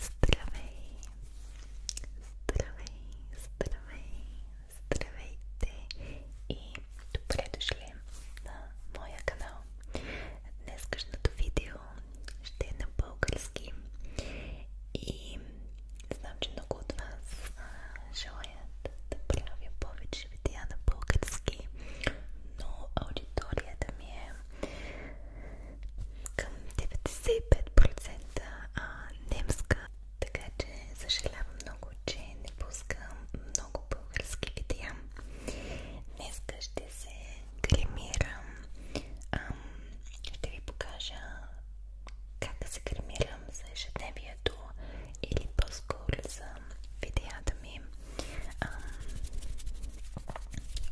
Здравей! Здравей! Здравей! Здравейте! И добре дошли на моя канал. Днескашното видео ще е на български и знам, че много от вас желаят да правя повече видеа на български, но аудиторията ми е към 95% немска. Така че съжалявам много, че не пускам много български видеа. Днеска ще се кремирам. Ам, ще ви покажа как да се кремирам за ежедневието или по-скоро за видеята ами ам,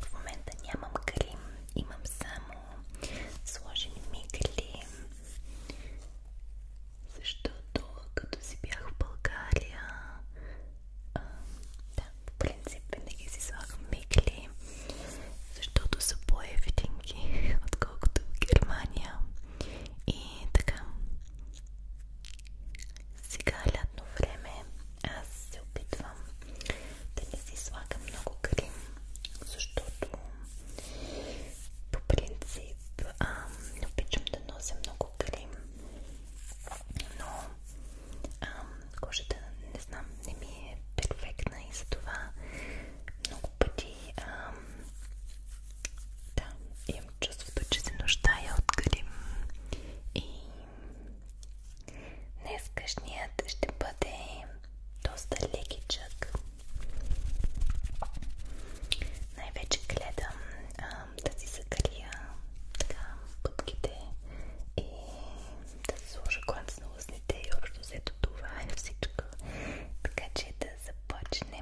в момента нямам крем, имам само сложени мигли защото като си бях в България а, да, по принцип винаги си слагам мигли защото са по-ефтинки отколкото в Германия и така сега е лятно време аз се опитвам да не си слагам много крем, защото по принцип а, не обичам да нося много крем, но а, кожата не знам, не ми е перфектна и затова много пъти а, да, имам чувството, че се нуждая от крем и Днескашният ще бъде доста лекичък. Най-вече гледам а, да си закалия така пътките и да се сложа конец на устните и общо взето това е всичко. Така че да започнем.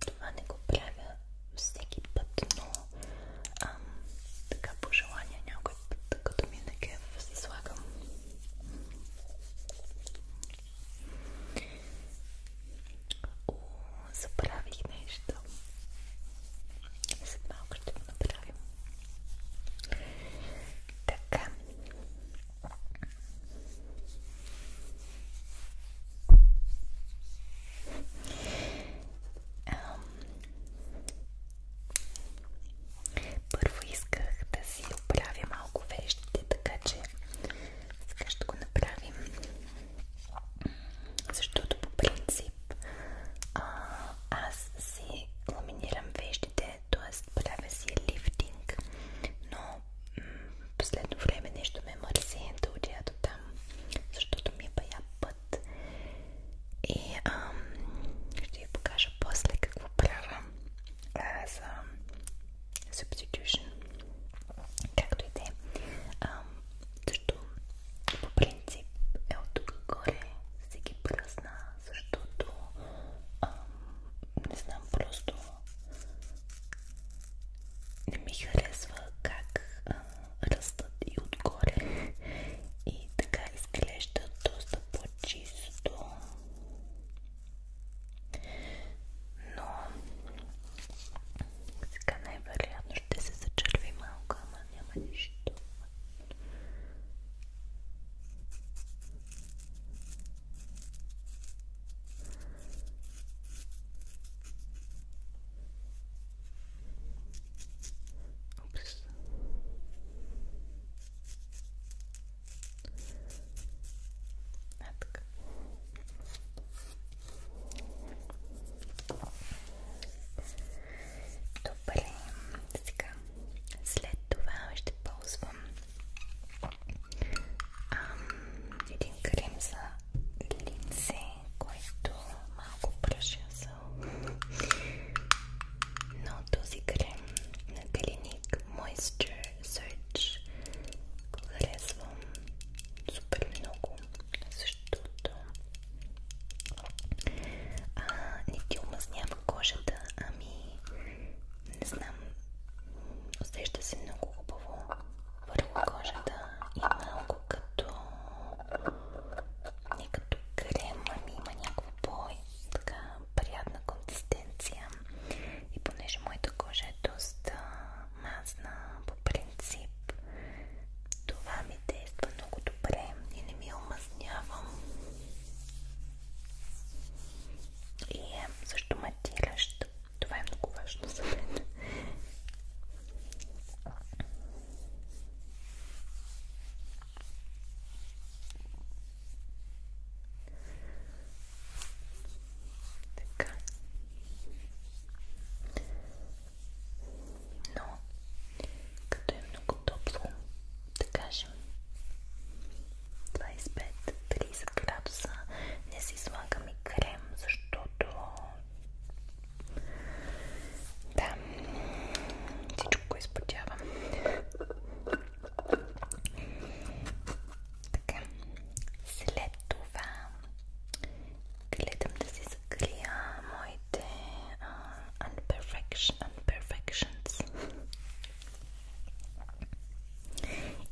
Това не го правя всеки път, но ам, така по желание някой път, като ми е накеф, си слагам О, забравих нещо. След малко ще го направим. Така. Първо исках да си оправя малко вещите, така че сега ще го направим. Защото по принцип а, аз си ламинирам вещите, т.е. правя си лифтинг, но последно време нещо ме мързи да отида до там, защото ми е бая път. И ам, ще ви покажа после какво правя за um, substitution, както и те. Също по принцип е от тук горе си ги пръсна, защото ам, не знам, просто не ми харесва как а, растат и отгоре и така изглежда доста по-чисто но сега най-вероятно ще се зачерви малко, ама няма нищо. Упс. А, така. Добре, сега. След това ще ползвам ам, един крем за лице, който малко пръша за но този крем на Clinique Moisture search харесвам супер много, защото а, не ти омъзнява кожата, ами не знам, усеща се много хубаво върху кожата и малко като не като крем, ами има някакво бой, така приятна консистенция и понеже моята кожа е доста мазна по принцип това ми действа много добре и не ми я омазнявам и е също матиращ това е много важно за мен така. Но, като е много топло, да кажем 25-30 градуса, не си слагаме крем, защото да, всичко изпотява. Така, след това гледам да си закрия моите uh, unperfection, unperfections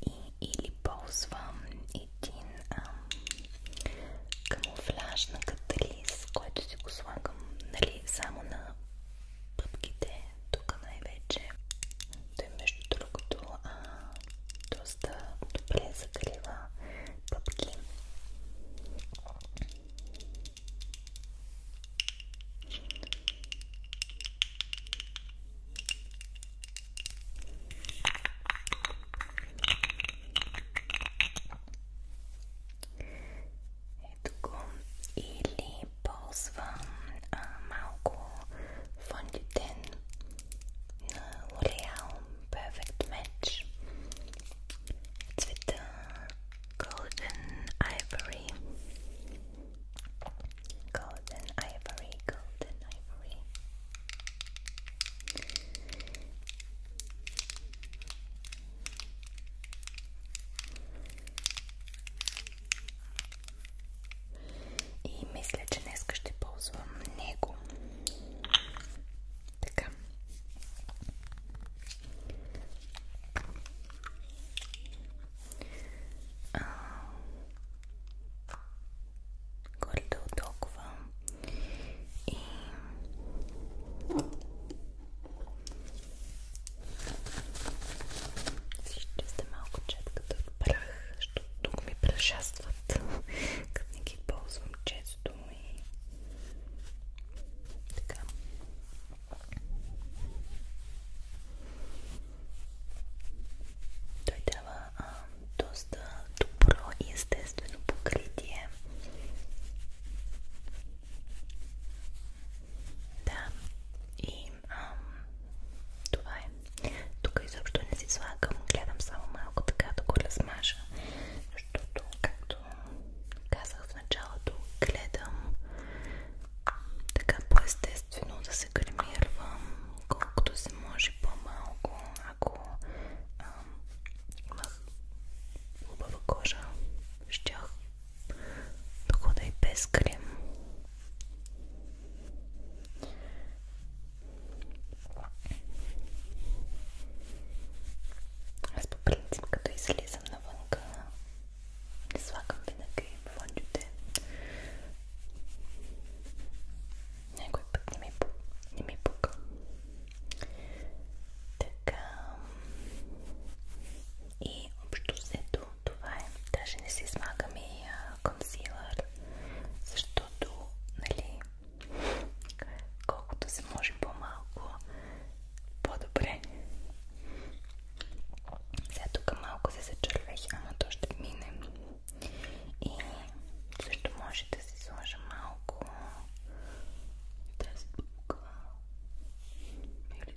и или ползвам един uh, камуфляж на катализ, който си го слагам нали, само на пъпките, тук най-вече. Той между другото а, доста добре закрива пъпки. Ето го. Или balls van eh, Malco van Duten uh, Perfect Match. It's with the eh, golden ivory. Golden ivory, golden ivory. И мисля, че днес ще ползвам него. Така. А... Гордо толкова. И ще сте малко четката от прах, защото тук ми прашастват, като не ги ползвам често и така. Той дава а, доста добро и естествено покритие. Да, и Ам, това е. Тук изобщо не си слагам, гледам само малко така да го размажа, защото, както казах в началото, гледам така по-естествено да се гримирвам, колкото се може по-малко, ако ам, имах хубава кожа, щях Походу и без крем. Аз по принцип като излизам навънка не слагам винаги фондюте. Някой път не ми, не ми пука. Така. И общо взето ето това е. Даже не си смагаме и консилър, защото, нали, колкото се може по-малко, по-добре. Сега тук малко се зачервех, ама то ще мине. И също може да си сложа малко тази бука или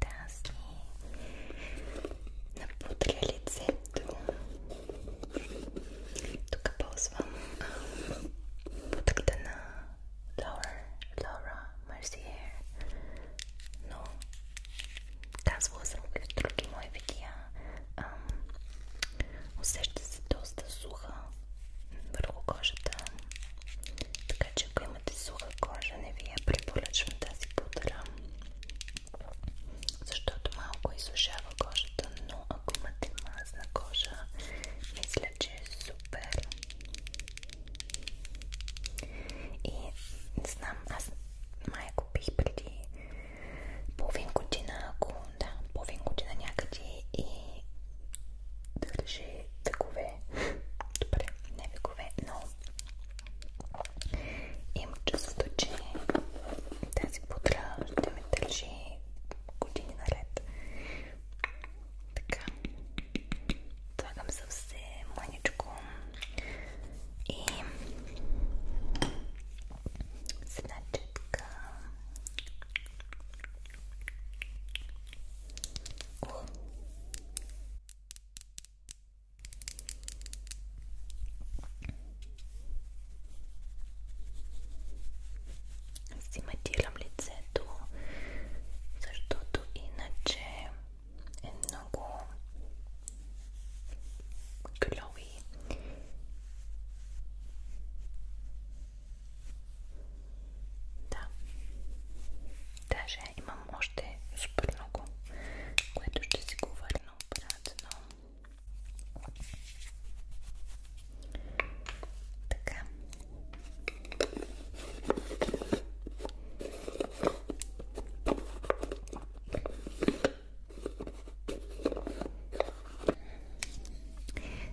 тази на пудра лицето. Тук ползвам пудрата на Laura, Laura Mercier, но казвала съм в други мои видеа. Ам, усеща се доста суха върху кожата, така че ако имате суха кожа, не ви я препоръчвам тази пудра, защото малко изсушава кожата, но ако имате мазна кожа, мисля, че е супер. И не знам, аз май го пих преди половин година, ако да, половин година някъде и държи векове. Добре, не векове, но Имам чувството, че тази пудра ще ме държи години наред. Така. Слагам съвсем маничко и с една четка. О. Си матирам лицето, защото иначе е много клеви. Да. Даже имам имам още супер много, което ще си го върна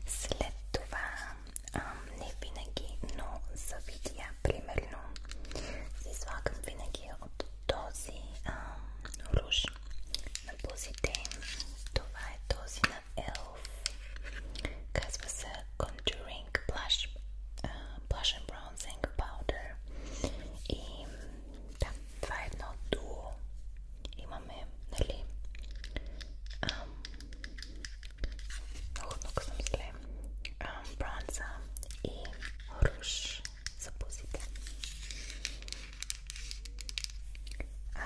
След това не винаги, но за видеа примерно си слагам винаги от този а, руж на бузите. Това е този на Elf. Казва се Contouring Blush, а, Blush and Bronzing Powder. И да, това е едно дуо. Имаме, нали? А, много много съм зле е а, бронза и руш за пузите.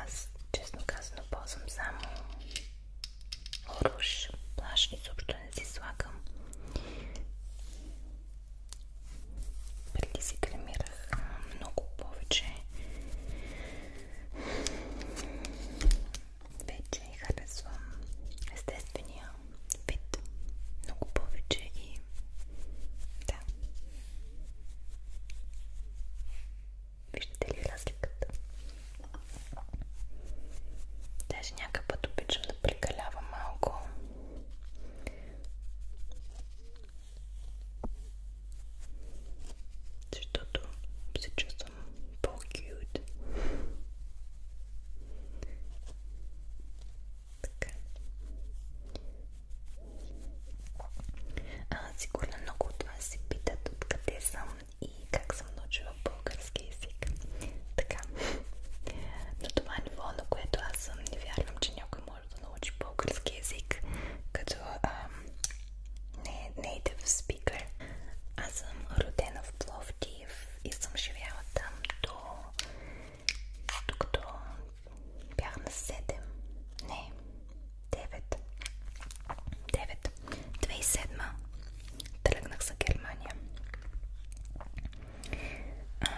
Аз, честно казано, ползвам само руш. Плаш изобщо не си слагам. Преди си кремирах много повече вече харесвам естествения вид много повече и да. Виждате ли разликата? Даже някакъв път обичам да прекалявам малко. Защото се чувствам по-кют. Така. А, сигурно много от вас се питат откъде съм и как съм научила български език. Така. На това е ниво, на което аз съм, не вярвам, че някой може да научи български език, като а, не е native speaker. Аз съм родена в Пловдив Киев и съм живяла там до... докато бях на 7. Не, 9. 9. 2007 тръгнах за Германия. А,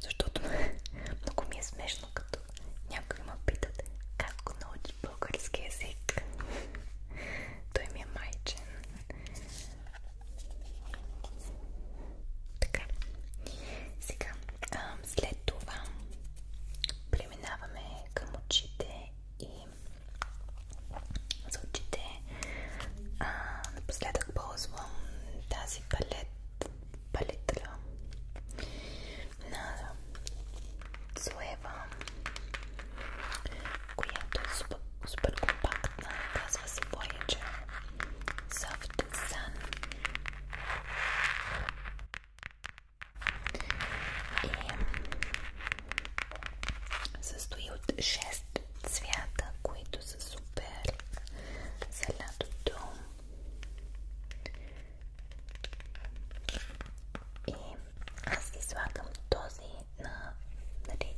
защото много ми е смешно, като някои ме питат как го научи български език. Той ми е майчен. Така. Сега, а, след това преминаваме към очите и за очите а, напоследък ползвам тази палет, палитра на Суева която е супер, супер компактна, казва се Voyager Soft Sun и състои от 6 цвята, които са супер за лятото и аз излагам този на нали,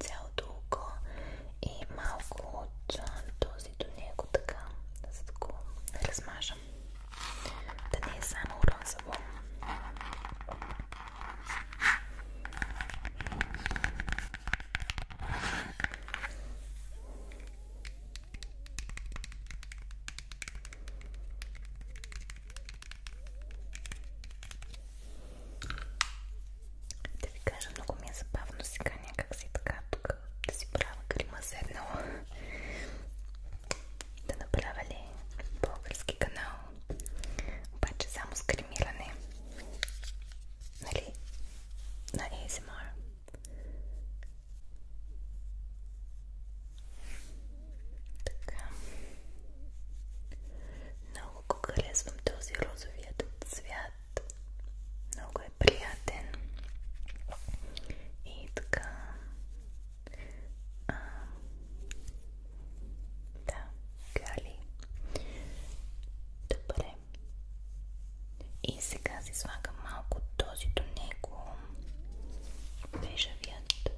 цялото око и малко от този до него така, за да го размажам. Да не е само розово. Да ви кажа, много ми е забавно сега някак си така тук да си правя грима седнала. Да направя ли български канал? Обаче само с гримиране. Нали? На ASMR. Така. No много го харесвам този розовият цвят. Много е приятен. И така. А, да, гали. Добре. И сега си слагам малко този до него. Бежавият.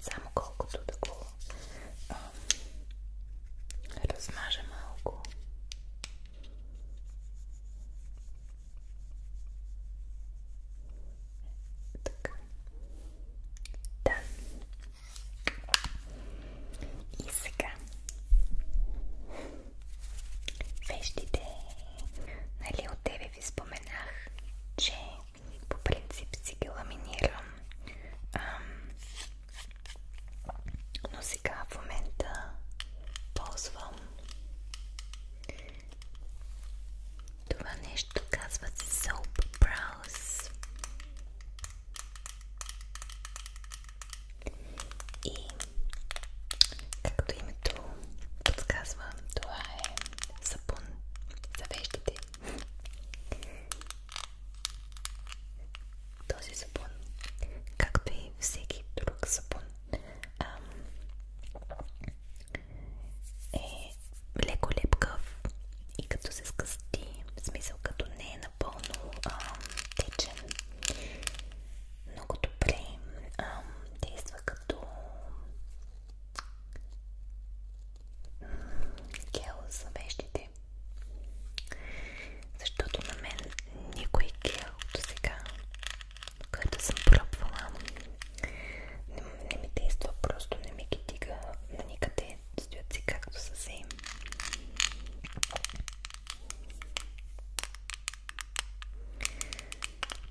Само колкото да го а, размажа малко. Така. Да. И сега. Вещите. Нали от тебе ви споменах, че по принцип си ги ламинирам. Ам, но сега в момента ползвам това нещо, казва се Soap Brows. И Както името подсказва, това е сапун за вещите. Този сапун, както и всеки друг сапун, е леко лепкав и като се скъсти, в смисъл като не е напълно а, течен, много добре а, действа като гел за вещите. Защото на мен никой гел до сега, който съм пробвала, не, не ми действа, просто не ми ги дига на никъде, стоят си както са се.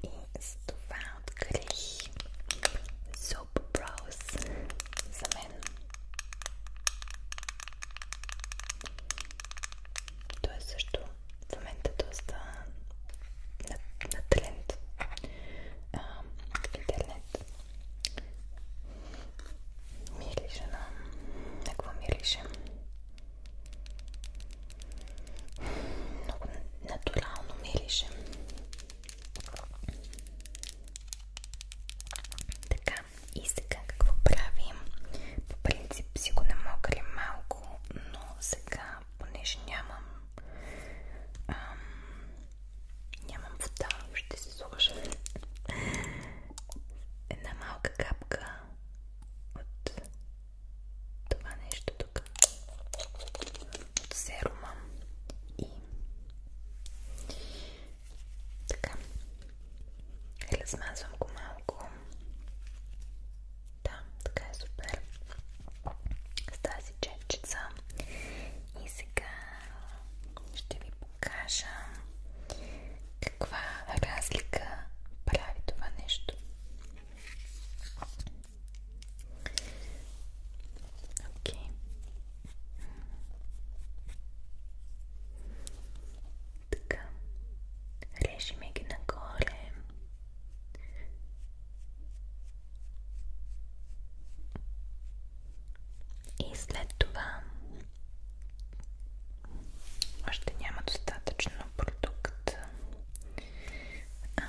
И за това открих Soap Brows за мен. Той е също в момента е доста на, на тренд а, в интернет. Мирише на... На какво мирише? Много натурално мирише. Така, и сега какво правим? По принцип си го намокря малко, но сега, понеже нямам ам, нямам вода, ще се сложа една малка капка от това нещо тук от серума и така или смазвам го малко да, така е супер с тази четчица и сега ще ви покажа каква разлика прави това нещо Ok. Така. Режиме ги нагоре. И след това още няма достатъчно продукт Ам...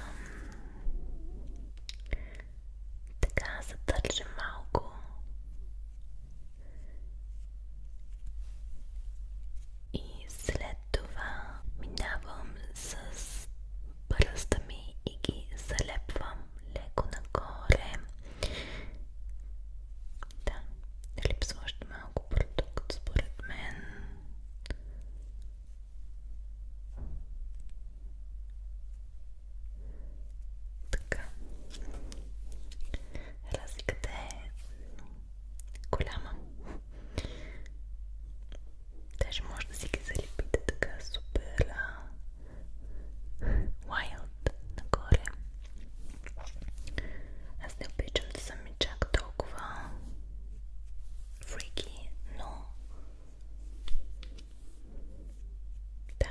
Така, задържа малко. И след това минавам с пръста ми и ги залепвам леко нагоре. Да, липсва още малко продукт според мен. Така. Разликата е голяма. Даже може да си ги залепите така супер а... wild нагоре. Аз не обичам да съм и чак толкова freaky, но... Да.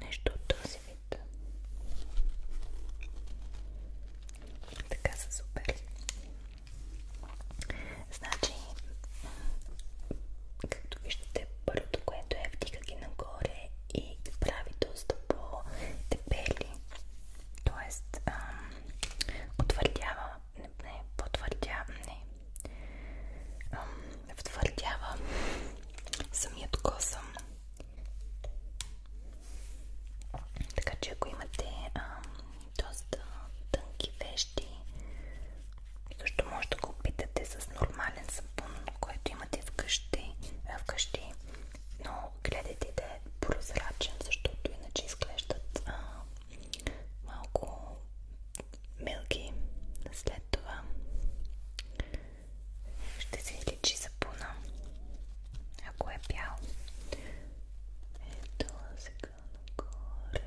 Нещо от този вид. Така са супер. Значи, както виждате, първото, което е вдига ги нагоре и прави доста по-дебели. Тоест, ам, утвърдява, не, потвърдява, не, ам, Така че ако имате доста тънки вещи, също може да го опитате с нормален сапун, който имате вкъщи но гледайте да е прозрачен, защото иначе изглеждат а, малко милки. След това ще се личи сапуна, ако е бял. Ето сега нагоре.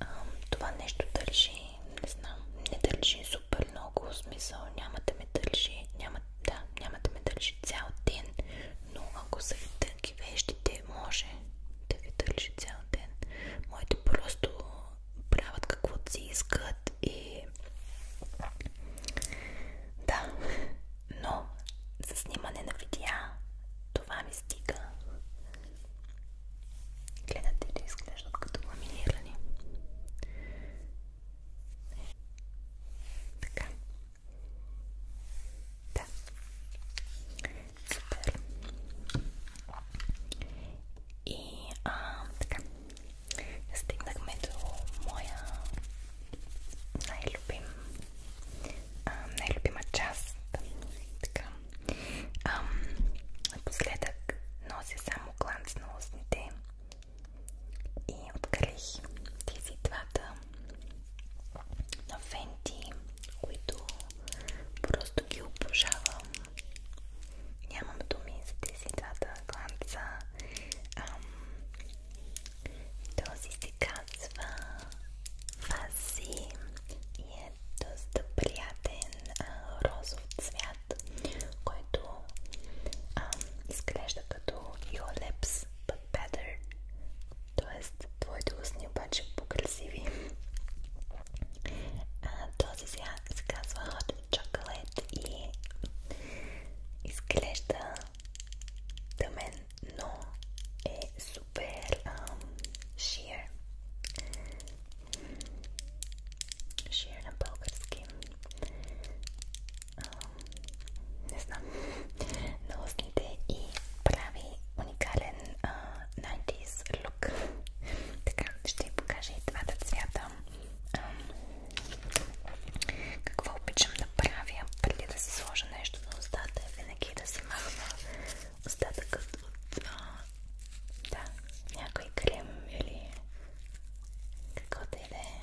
А, това нещо държи, не знам, не държи супер много, в смисъл няма да ме държи, няма да, няма да ме държи цял ден, но ако са ви тънки вещите, може да ви държи цял ден. Моите просто правят каквото си искат и да, но за снимане на видеа това ми стига. Гледате ли изглеждат като ламинирани? Е, така. Да. Супер. И а, така. Стигнахме до моя най-любим най-любима част. Така. Ам, напоследък нося само гланц на устните и открих тези двата на които просто ги обожавам. Нямам думи за тези двата гланца. Ам, този се и е доста приятен розов цвят, който изглежда като Юлепс but better. Тоест, твоите устни обаче по-красиви. Този сега се казва Hot Chocolate и изглежда тъмен, но е супер шиер. Шиер на български не знам, на устните и прави уникален а, 90s лук. Така, ще ви покажа и двата цвята. А, какво обичам да правя преди да си сложа нещо на устата е винаги да си махна остатъкът от а, да, някой крем или каквото и да е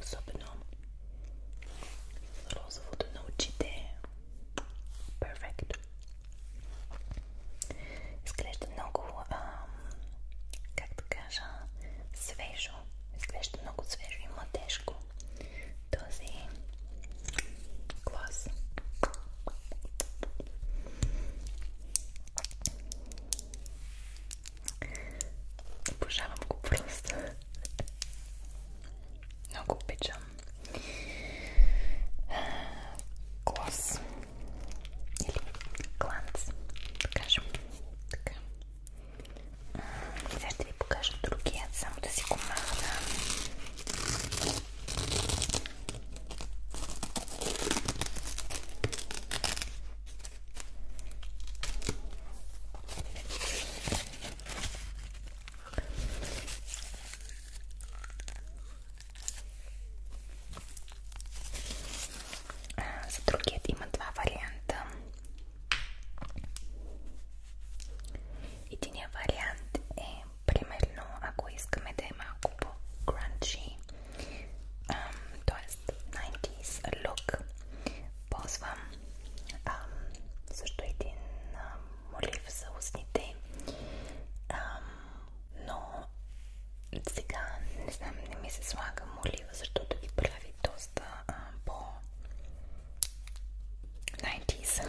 Особено розовото на очите. Перфект. Изглежда много, ам, как да кажа, свежо. Изглежда много свежо и младежко този глас. Обожавам го просто. Много обичам. Глас. Или гланц. Да кажем. Така. Сега ще ви покажа другия, само да си го махна. За другие има два варианта. Единия вариант е примерно, ако искаме да е малко по-crunchy, т.е. 90s look, ползвам ам, също един ам, молив за устните, ам, но сега не знам, не ми се слага молива, защото ги прави доста ам, по 90s.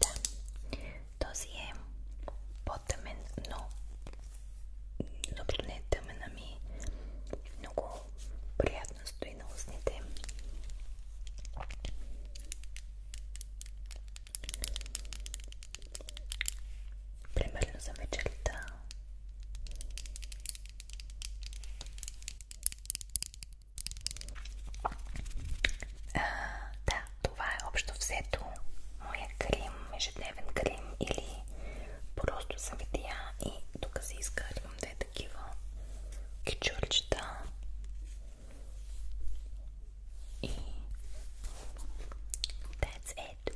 Да, този е по-тъмен, но добре не е тъмен, ами много приятно стои на устните. Примерно за вечерта а, да, това е общо взето моя крим, ежедневен крим или просто съветия и тук се изкарвам две такива кичурчета и that's it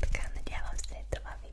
така, надявам се това ви